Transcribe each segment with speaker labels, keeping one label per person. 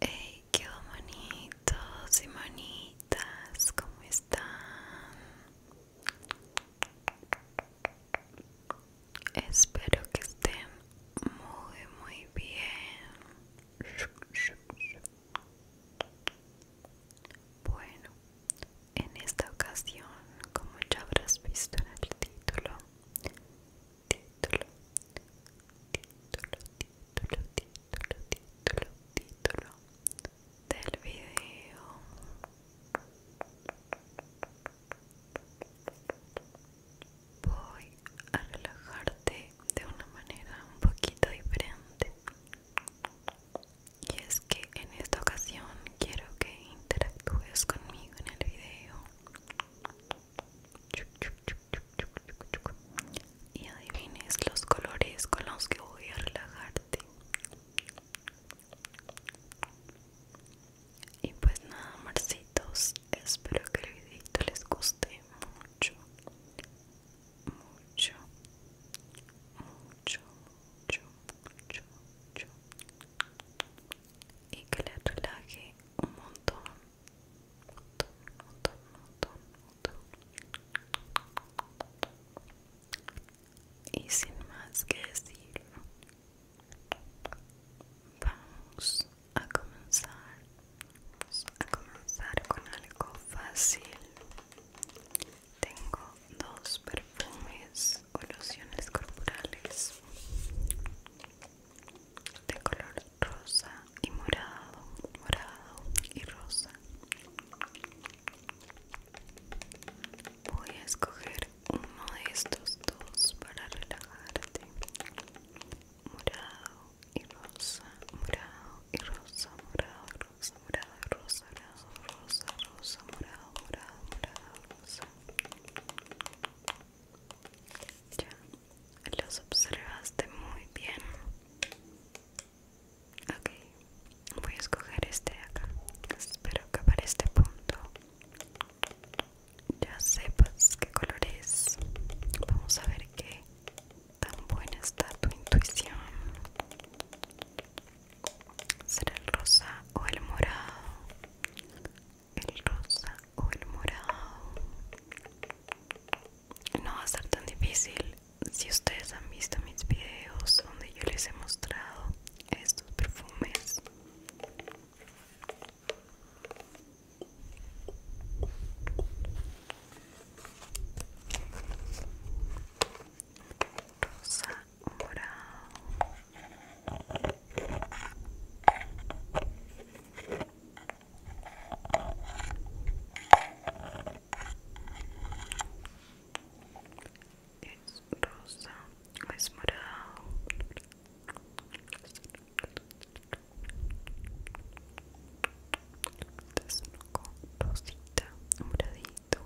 Speaker 1: Hey, qué bonitos y bonitas, ¿cómo están? Espero que estén muy, muy bien. Bueno, en esta ocasión, como ya habrás visto en el título, título, título, título, título, título título del video. Voy a relajarte de una manera un poquito diferente. Y es que en esta ocasión quiero que interactúes conmigo en el video y adivines los colores con los que voy a relajarte y pues nada marcitos espero que el videito les guste mucho mucho mucho mucho mucho mucho y que les relaje un montón y sin más que decir vamos a comenzar vamos a comenzar con algo fácil tengo dos perfumes o lociones corporales de color rosa y morado, morado y rosa. Voy a escoger uno de estos dos para relajarte. Morado y rosa, morado y rosa, morado, rosa, morado, rosa, rosa, rosa, rosa, morado, morado, morado, rosa. Ya los observaste muy bien. Ok, voy a escoger este de acá. Espero que para este punto ya sepas qué color es. Vamos a ver qué tan buena está tu intuición. ¿Será el rosa o el morado? el rosa o el morado no va a ser tan difícil si ustedes han visto mis videos donde yo les he mostrado estos perfumes rosa o morado es rosa, es morado. es un con rosita, moradito.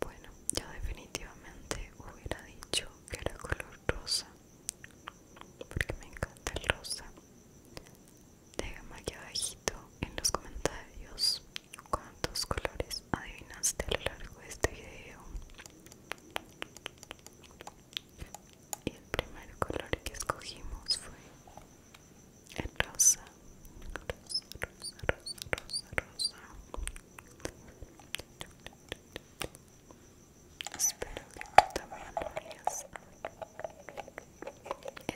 Speaker 1: Bueno, yo definitivamente hubiera dicho que era color rosa, porque me encanta el rosa. Déjame aquí abajito en los comentarios ¿Cuántos colores adivinaste a lo largo de este video? Y el primer color que escogimos fue el rosa. Rosa, rosa, rosa, rosa, Espero que también lo hayas.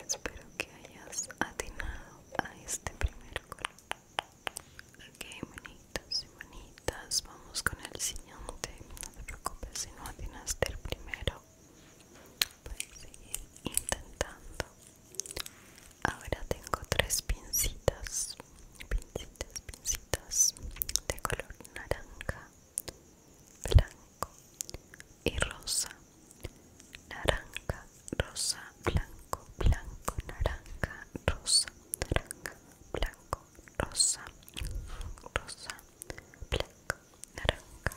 Speaker 1: Espero que hayas atinado a este primer color. Ok, bonitas y bonitas, vamos con el siguiente. No te preocupes si no atinaste el primero. Puedes seguir intentando. Ahora tengo tres pincitas, pincitas, pincitas de color naranja, blanco y rosa naranja, rosa, blanco, blanco, naranja, rosa, naranja, blanco, rosa, rosa, blanco, naranja.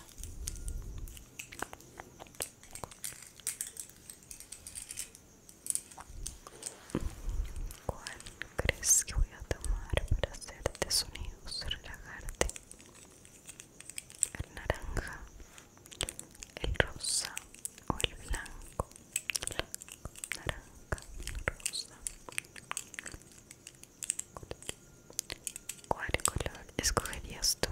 Speaker 1: ¿Cuál crees que voy a tomar para hacerte sonidos, relajarte? El naranja, el rosa o el blanco, naranja, rosa. ¿Cuál color escogerías tú?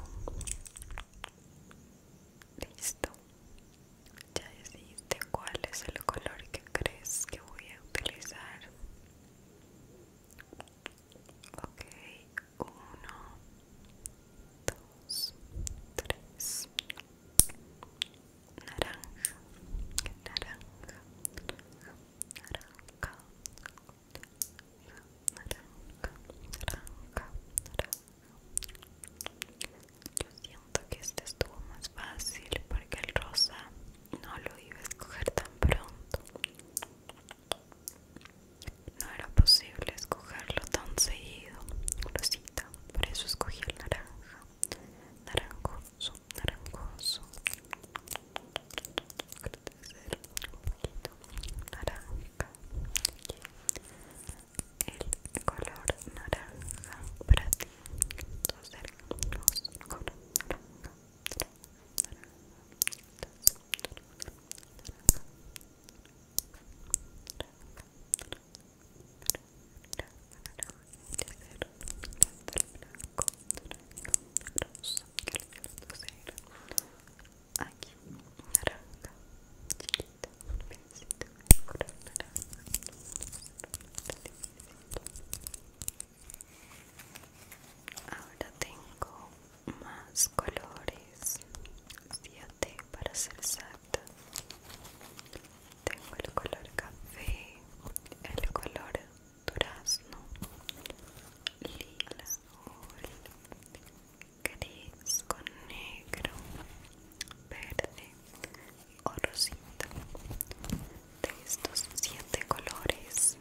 Speaker 1: Listo. Ya decidiste cuál es el color que crees que voy a utilizar. Ok, uno, dos, tres. Naranja, naranja, naranja, naranja, naranja, naranja. Yo siento que este estuvo más fácil porque el rosa no lo iba a escoger tan pronto. No era posible escogerlo tan seguido, Rosita, por eso escogí el naranja. Naranjoso, naranjoso. Crecer un poquito. Naranja. El color naranja para ti. Dos Acercarnos con Naranja. Naranja. Naranja. Aquí, Ahora tengo más colores, 7 para ser exacta. Tengo el color café, el color durazno, lila, azul, gris con negro, verde o rosita. De estos siete colores,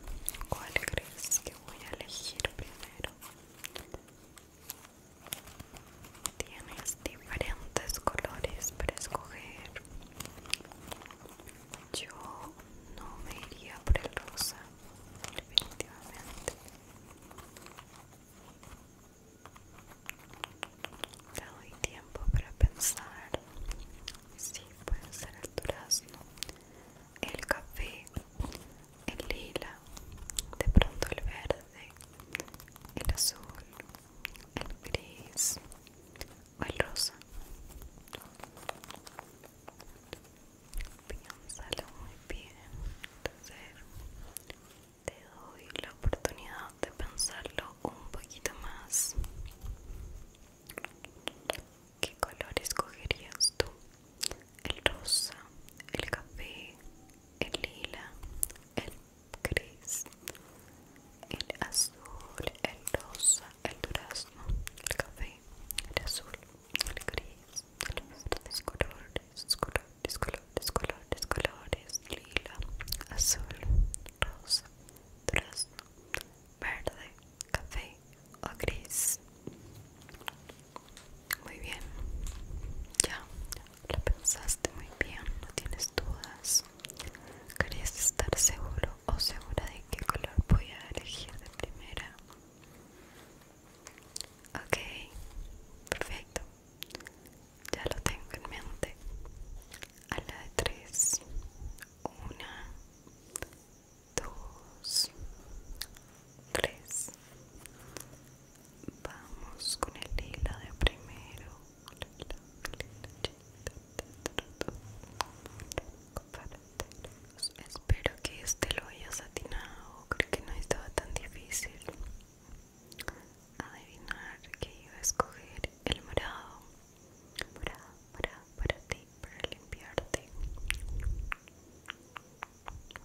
Speaker 1: ¿cuál crees que voy a elegir primero? Tienes diferentes colores para escoger. Yo no me iría por el rosa, definitivamente. Te doy tiempo para pensar. Sí, puede ser el durazno, el café el lila, de pronto el verde, el azul, el gris o el rosa. Piénsalo muy bien. Entonces, te doy la oportunidad de pensarlo un poquito más. ¿Qué color escogerías tú el rosa, el café, el lila, el gris, el azul, el rosa, el durazno, el café, el azul, el gris, el colores, colores, colores, colores, colores, lila, azul, rosa, durazno, verde, café o gris. Muy bien. Ya, lo pensaste muy bien, no tienes dudas. ¿Querías estar seguro o segura de qué color voy a elegir de primera? Ok, perfecto. Ya lo tengo en mente. A la de tres. Una, dos, tres. Vamos con el lila de primero. Espero que este lo hayas atinado. Creo que no estaba tan difícil adivinar que iba a escoger el morado. Morado, morado para ti, para limpiarte.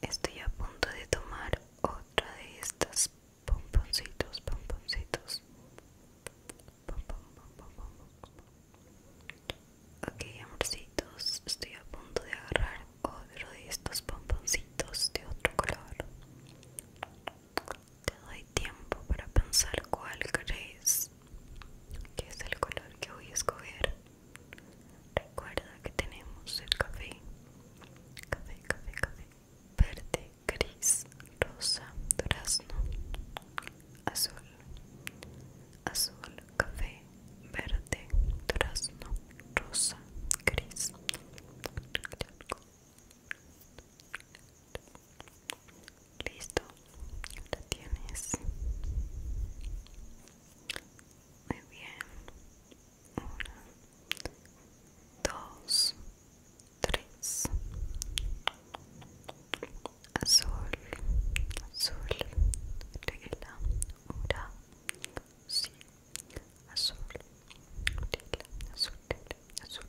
Speaker 1: Estoy a punto de tomar otra de estas pomponcitos, pomponcitos. Ok, amorcitos, estoy a punto de agarrar otro de estos pomponcitos de otro color. Te doy tiempo para pensar cuál crees que es el color que voy a escoger. Recuerda que tenemos el café, café, café, café, verde, gris, rosa, durazno, azul, azul, café, verde, durazno, rosa, gris. Listo, la tienes. Muy bien. Una, Azul, azul, azul, azul, azul, azul, azul, azul, azul, azul, azul,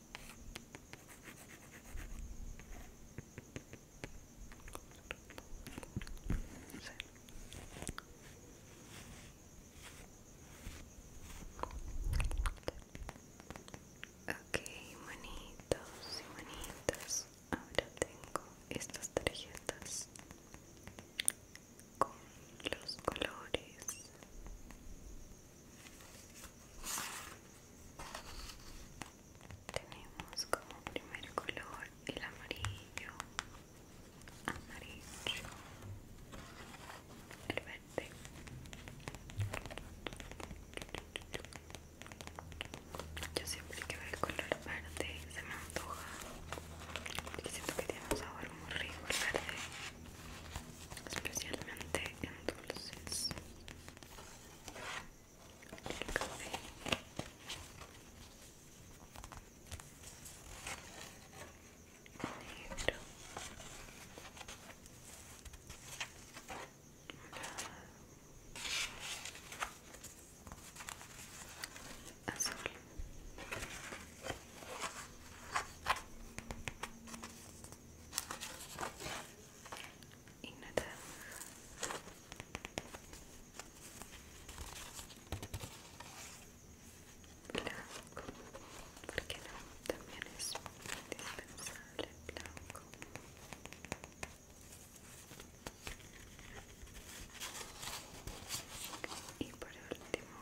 Speaker 1: Ok, manitos y manitas. Ahora tengo estas tarjetas con los colores tenemos como primer color el amarillo, amarillo, el verde, yo siempre que veo el color verde se me antoja porque siento que tiene un sabor muy rico el verde especialmente en dulces el café negro azul y nada blanco porque no también es indispensable blanco y por último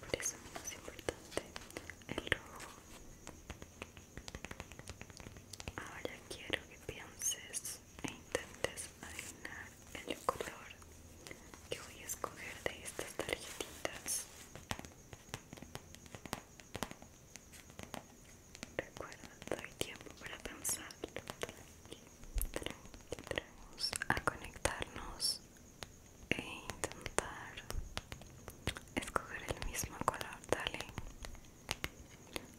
Speaker 1: por eso más importante el rojo Ahora quiero que pienses e intentes adivinar el color que voy a escoger de estas tarjetitas. Recuerda, doy tiempo para pensar. y a conectarnos e intentar escoger el mismo color, dale.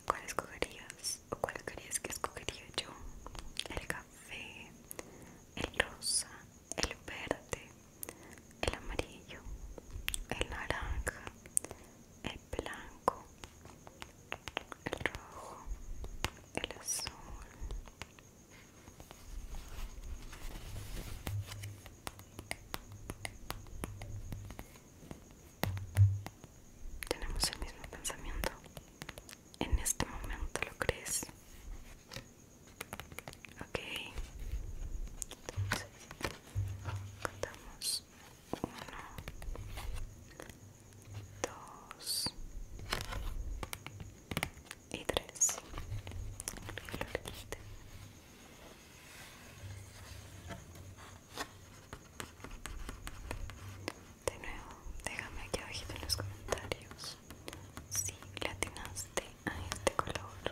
Speaker 1: ¿Cuál escogerías? ¿O cuál crees que escogería yo? El café, el rosa, el verde, el amarillo, el naranja, el blanco, el rojo, el azul. Tenemos el mismo pensamiento. En este momento lo crees. Ok. Entonces, contamos uno, dos y tres. Lo de nuevo, déjame aquí abajito en los comentarios si le atinaste a este color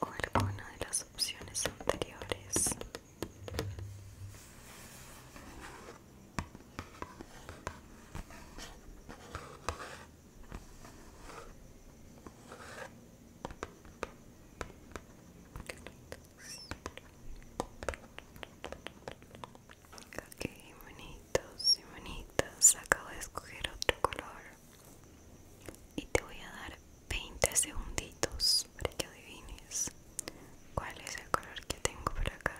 Speaker 1: o alguna de las opciones anteriores. Ok, bonitos y bonitas. Acabo de escoger otro color. Y te voy a dar 20 segunditos para que adivines cuál es el color que tengo por acá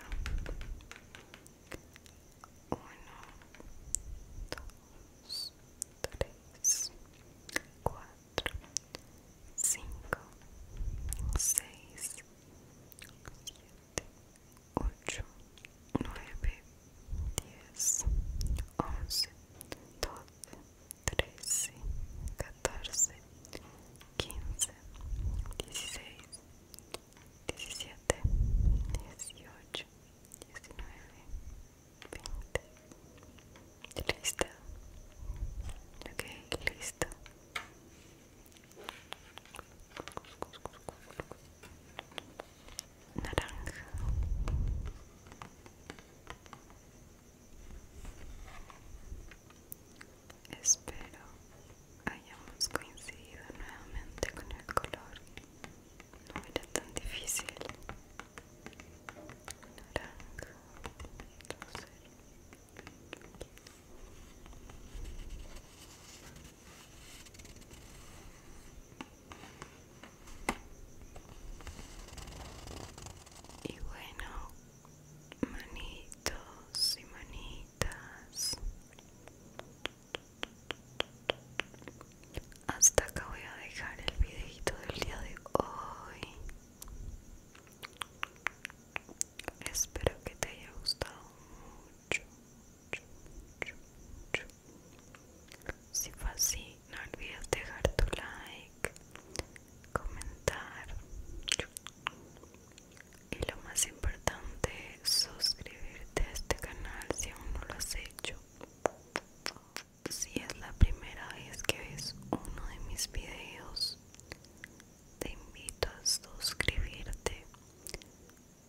Speaker 1: dos, tres, cuatro, cinco, seis, siete, ocho, nueve, diez, once, doce, trece, catorce, quince, dieciséis, diecisiete, dieciocho. 19, 20. Listo. Ok, listo. Naranja. Espero hayamos coincidido nuevamente con el color no era tan difícil y bueno manitos y manitas hasta acá voy a dejar el videito del día de hoy. Espero que te haya gustado mucho. Si fue así, no olvides dejar tu like, comentar y lo más importante, suscribirte a este canal si aún no lo has hecho. Si es la primera vez que ves uno de mis videos, te invito a suscribirte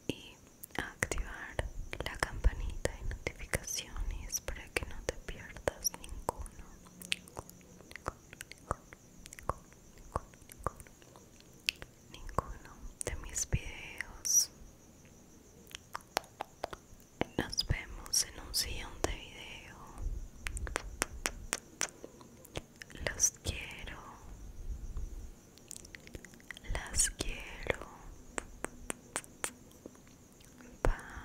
Speaker 1: y a activar la campanita de notificaciones para que no te pierdas ninguno. Ninguno de mis videos nos vemos en un siguiente video. Los quiero. Las quiero. Bye.